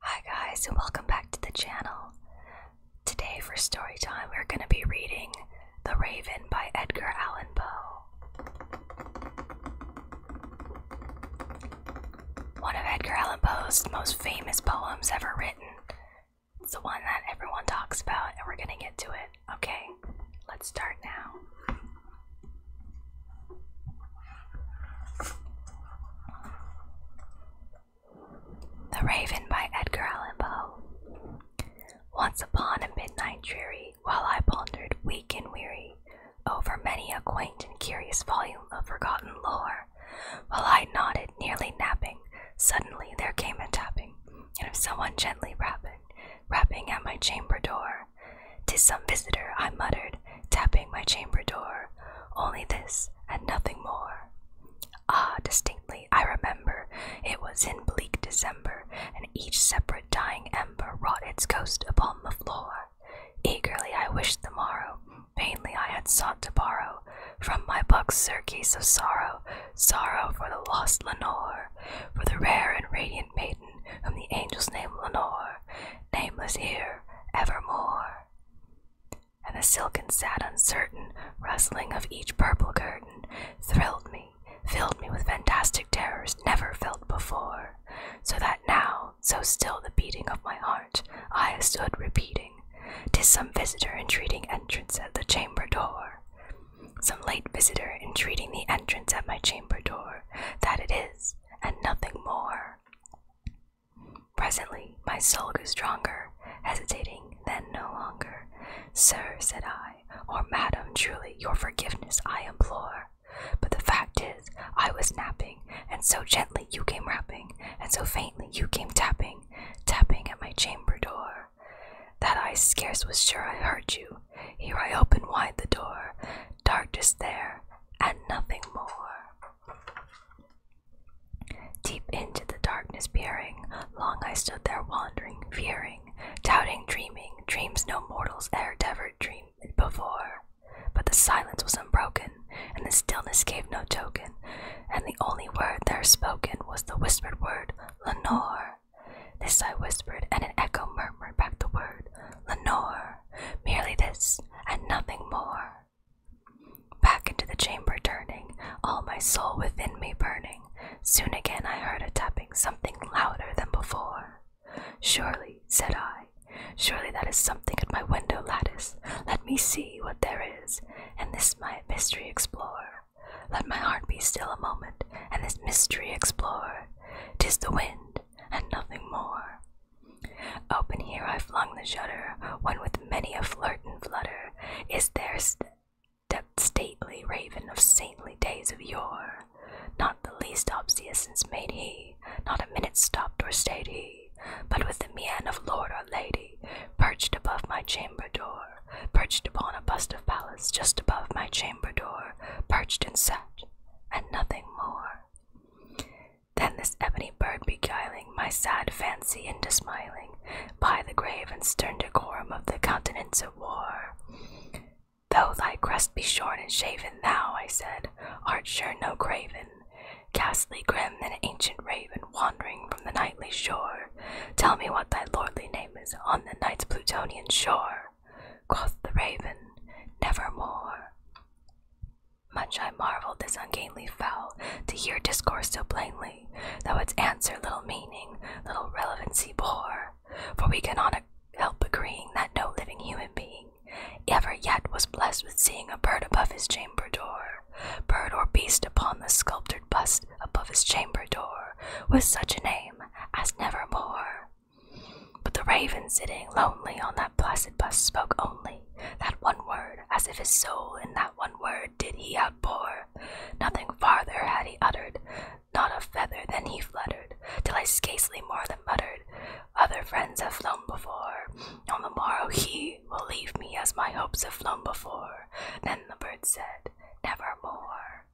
Hi guys and welcome back to the channel. Today for story time we're going to be reading The Raven by Edgar Allan Poe. One of Edgar Allan Poe's most famous poems ever written. It's the one that everyone talks about and we're going to get to it. Okay, let's start now. The Raven by Edgar Allan Poe. Once upon a midnight dreary, while I pondered weak and weary over many a quaint and curious volume of forgotten lore, while I nodded, nearly napping, suddenly there came a tapping, and of someone gently rapping, rapping at my chamber door. "'Tis some visitor,' I muttered, tapping my chamber door. "'Only this, and nothing more.' Ah, distinctly I remember it was in bleak December, and each separate dying ember wrought its ghost upon the floor. Eagerly I wished the morrow, vainly I had sought to borrow from my book's surcease of sorrow, sorrow for the lost Lenore, for the rare and radiant maiden whom the angels named Lenore, nameless here evermore. And the silken, sad, uncertain rustling of each purple curtain thrilled me, filled me with fantastic terrors never felt before, so that now, so still the beating of my heart, I stood repeating, 'Tis some visitor entreating entrance at the chamber door." Some late visitor entreating the entrance at my chamber door, that it is, and nothing more. Presently, my soul grew stronger, hesitating, then no longer. Sir, said I, or madam, truly, your forgiveness I implore. But the fact is, I was napping, and so gently you came rapping, and so faintly you came tapping, tapping at my chamber door. That I scarce was sure I heard you. Here I open wide the door. Darkness there, and nothing more. Deep into the darkness peering, long I stood there wandering, fearing, doubting, dreaming, dreams no mortals e'er devered dreamed before. But the silence was unbroken, and the stillness gave no token, and the only word there spoken was the whispered word, Lenore. This I whispered, and an echo murmured back the word, Lenore. Merely this, and nothing more. Back into the chamber turning, all my soul within me burning, soon again I heard a tapping, something louder than before. Surely, said I, surely that is something at my window lattice. Let me see what there is, and this my mystery explore. Let my heart be still a moment, and this mystery explore. Tis the wind, and nothing more. Open here I flung the shutter, one with many a flirt and flutter. Is there that stately raven of saintly days of yore? Not the least obseisance made he, not a minute stopped or stayed he, but with the mien of lord or lady, perched above my chamber door perched upon a bust of Pallas just above my chamber door, perched and sat, and nothing more. Then this ebony bird beguiling my sad fancy into smiling, by the grave and stern decorum of the countenance of war. Though thy crest be shorn and shaven, thou, I said, art sure no craven, ghastly grim, an ancient raven wandering from the night. Tell me what thy lordly name is on the night's Plutonian shore. Quoth the raven, Nevermore. Much I marveled this ungainly fowl to hear discourse so plainly, though its answer little meaning, little relevancy bore. For we cannot help agreeing that no living human being ever yet was blessed with seeing a bird above his chamber door bird or beast upon the sculptured bust above his chamber door with such a name as nevermore. But the raven sitting lonely on that blessed bust spoke only that one word, as if his soul in that one word did he outpour. Nothing farther had he uttered, not a feather than he fluttered, till I scarcely more than muttered, Other friends have flown before. On the morrow he will leave me as my hopes have flown before. Then the bird said, "Never more."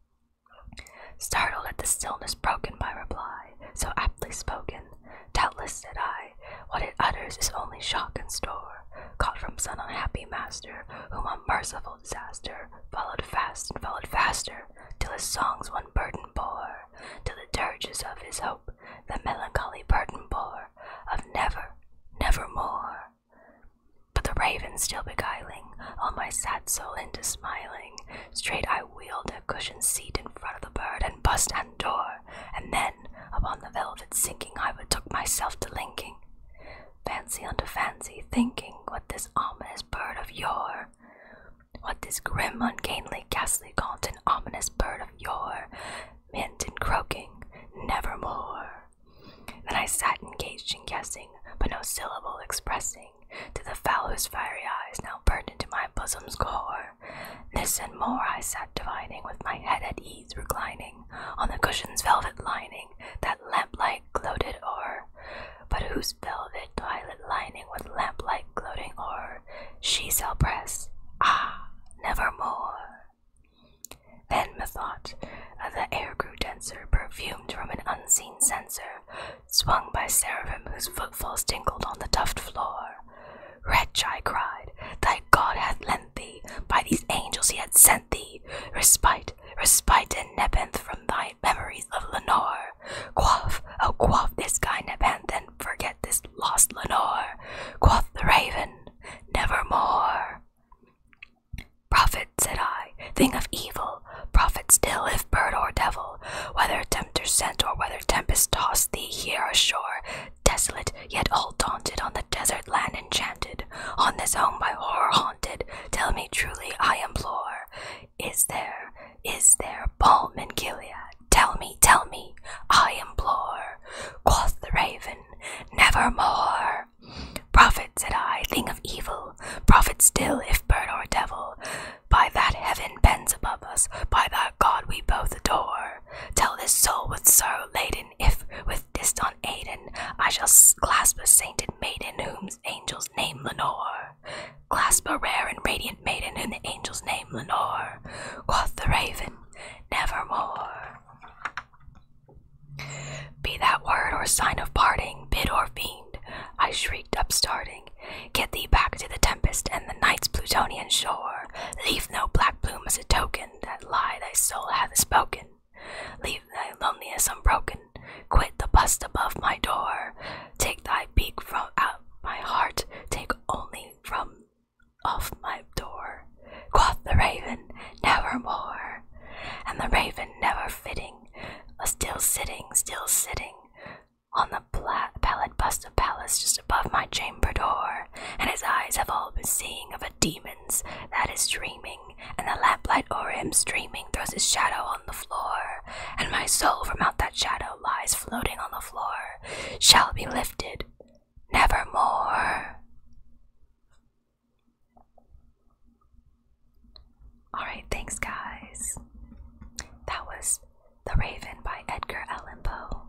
Startled at the stillness broken by reply, so aptly spoken, doubtless said I, what it utters is only shock and store, caught from some unhappy master, whom a merciful disaster followed fast and followed faster, till his songs one burden bore, till the dirges of his hope the melancholy burden bore of never, never more, But the raven still beguiling, all my sad soul into smiling, straight I wheeled a cushioned seat in front of the bird and bust and door, and then upon the velvet sinking I betook myself to linking. Fancy unto fancy, thinking what this ominous bird of yore, what this grim, ungainly, ghastly gaunt and ominous bird of yore, mint and croaking, nevermore. Then I sat engaged in guessing, but no syllable expressing, to the fowl fiery eyes now burned into my bosom's core. This and more I sat divining, with my head at ease reclining, on the cushion's velvet lining that lamplight gloated o'er, but whose velvet violet lining with lamplight gloating o'er she shall press, ah, nevermore. Then methought, the air grew denser, perfumed from an unseen censer, swung by seraphim whose footfalls tinkled on the tufted floor. Wretch, I cried, thy God hath lent thee, by these angels he hath sent thee, respite, respite and nepenthe from thy memories of Lenore. Quaff, oh quaff this guy nepenthe forget this lost Lenore, quoth the raven, nevermore. Prophet, said I, thing of evil, prophet still, if bird or devil, whether tempter sent or whether tempest tossed thee here ashore, desolate, yet all daunted, on the desert land enchanted, on this home by horror haunted, tell me truly, I implore, is there, is there balm and Gilead, tell me, tell me, I implore. Quoth the raven, nevermore. Prophet, said I, think of evil, prophet still, if bird or devil. By that heaven bends above us, by that God we both adore. Tell this soul what sorrow laden, if with distant aiden, I shall clasp a sainted maiden, whose angels name Lenore. Clasp a rare and radiant maiden in the angel's name, Lenore. Quoth the raven, nevermore. Be that word or sign of parting, bid or fiend, I shrieked, upstarting. Get thee back to the tempest and the night's Plutonian shore. Leave no black bloom as a token that lie thy soul hath spoken. Leave thy loneliness unbroken Quit the bust above my door. Take thy beak from out my heart. Take only from off my door. Quoth the raven, nevermore. And the raven, never fitting, uh, still sitting, still sitting on the pallid bust of Pallas just above my chamber door, and his eyes have all been seeing of a demon's that is dreaming and the lamplight o'er him streaming throws his shadow on the floor, and my soul from out that shadow lies floating on the floor, shall be lifted nevermore. Alright, thanks, guys. That was The Raven by Edgar Allan Poe.